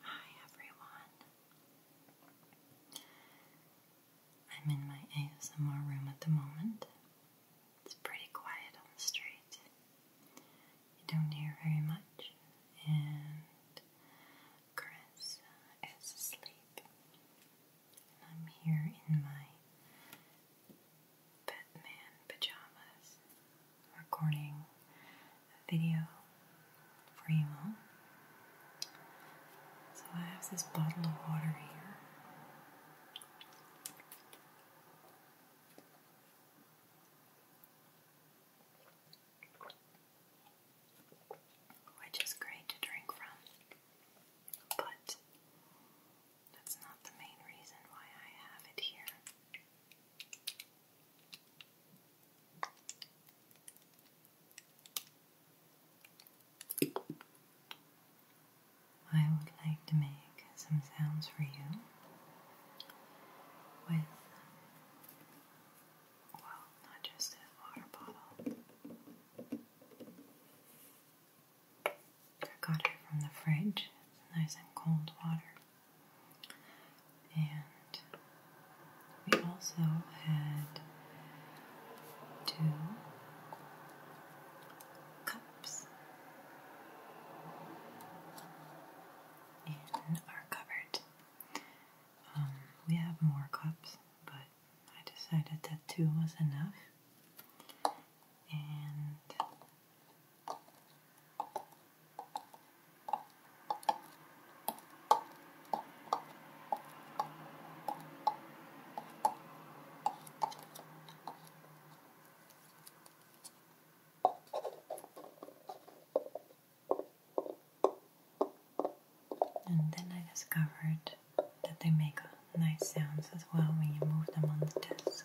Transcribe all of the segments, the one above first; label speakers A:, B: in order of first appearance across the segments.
A: Hi everyone. I'm in my ASMR room at the moment. It's pretty quiet on the street. You don't hear very much, and Chris uh, is asleep. I'm here in my Batman pajamas recording a video for you all. So I have this bottle of water here. Which is great to drink from. But that's not the main reason why I have it here. I would like to make some sounds for you with, well, not just a water bottle, I got it from the fridge, nice and cold water. And we also had two cups in our cupboard. Um, we have more cups, but I decided that two was enough. And then I discovered that they make nice sounds as well when you move them on the desk.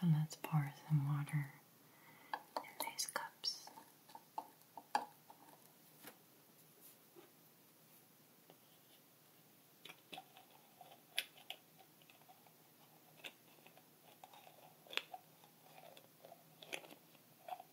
A: so let's pour some water in these cups.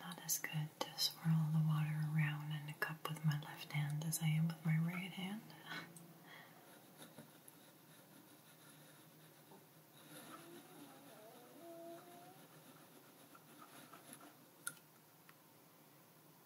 A: Not as good to swirl the water around in a cup with my left hand as I am with my right hand.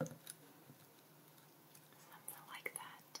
A: Something like that.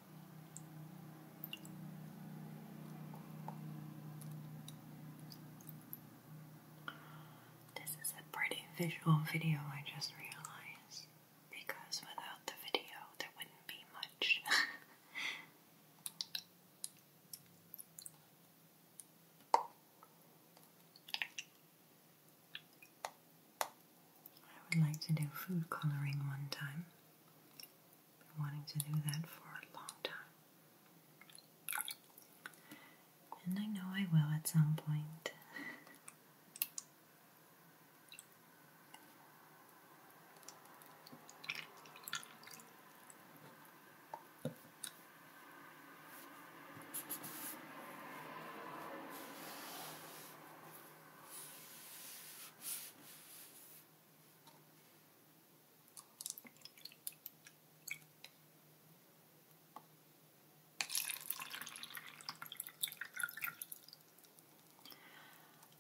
A: This is a pretty visual video, I just realized, because without the video, there wouldn't be much. I would like to do food coloring one time. Been wanting to do that for a long time. And I know I will at some point.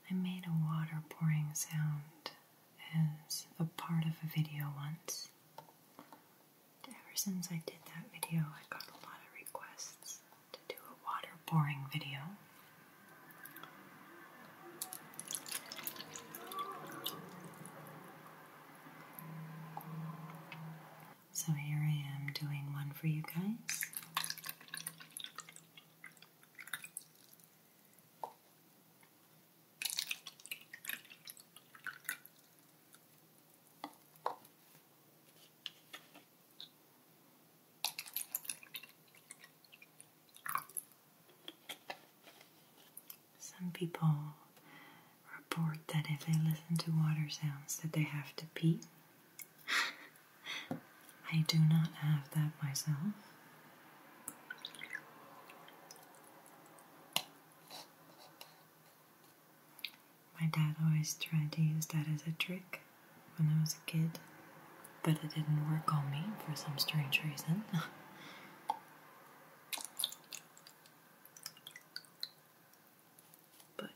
A: I made a water pouring sound as a part of a video once. Ever since I did that video, I got a lot of requests to do a water boring video. So here I am doing one for you guys. Some people report that if they listen to water sounds that they have to pee. I do not have that myself. My dad always tried to use that as a trick when I was a kid, but it didn't work on me for some strange reason. but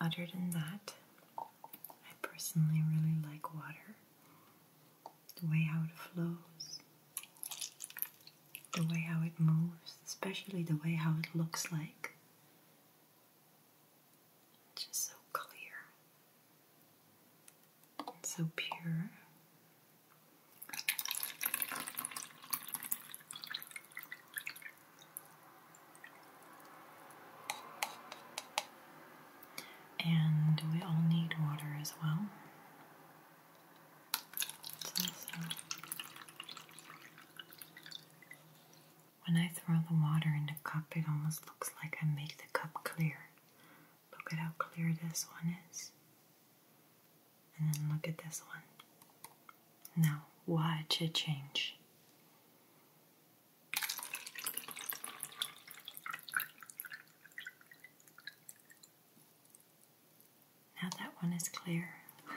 A: other than that, I personally really like water. The way how it flows, the way how it moves, especially the way how it looks like. Just so clear and so pure. And we all need water as well. When I throw the water in the cup, it almost looks like I make the cup clear. Look at how clear this one is. And then look at this one. Now, watch it change. Now that one is clear.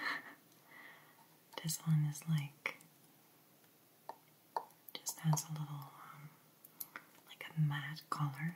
A: this one is like just has a little, um, like a matte color.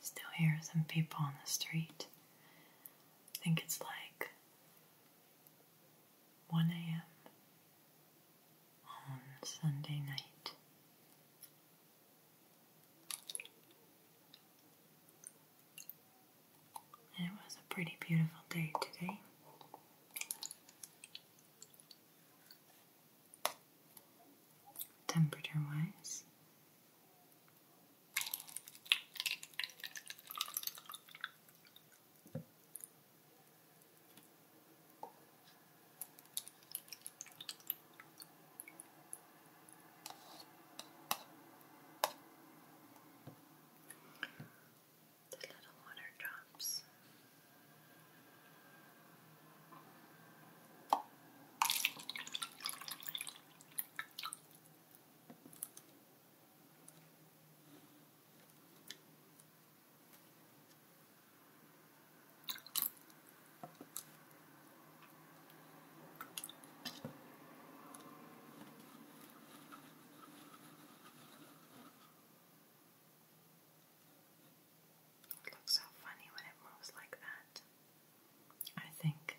A: Still hear some people on the street. think it's like 1 a.m. on Sunday night. And it was a pretty beautiful day today. Temperature wise, the little water drops. It looks so funny when it moves like that. I think.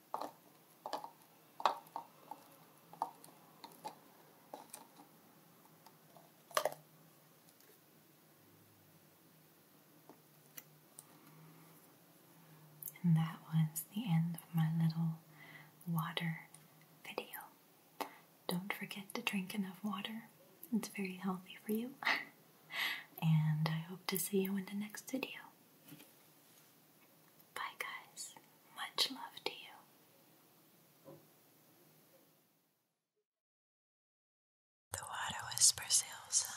A: And that was the end of my little water video. Don't forget to drink enough water, it's very healthy for you. and I hope to see you in the next video. Bye, guys. Much love to you. The water whispers, Ilsa.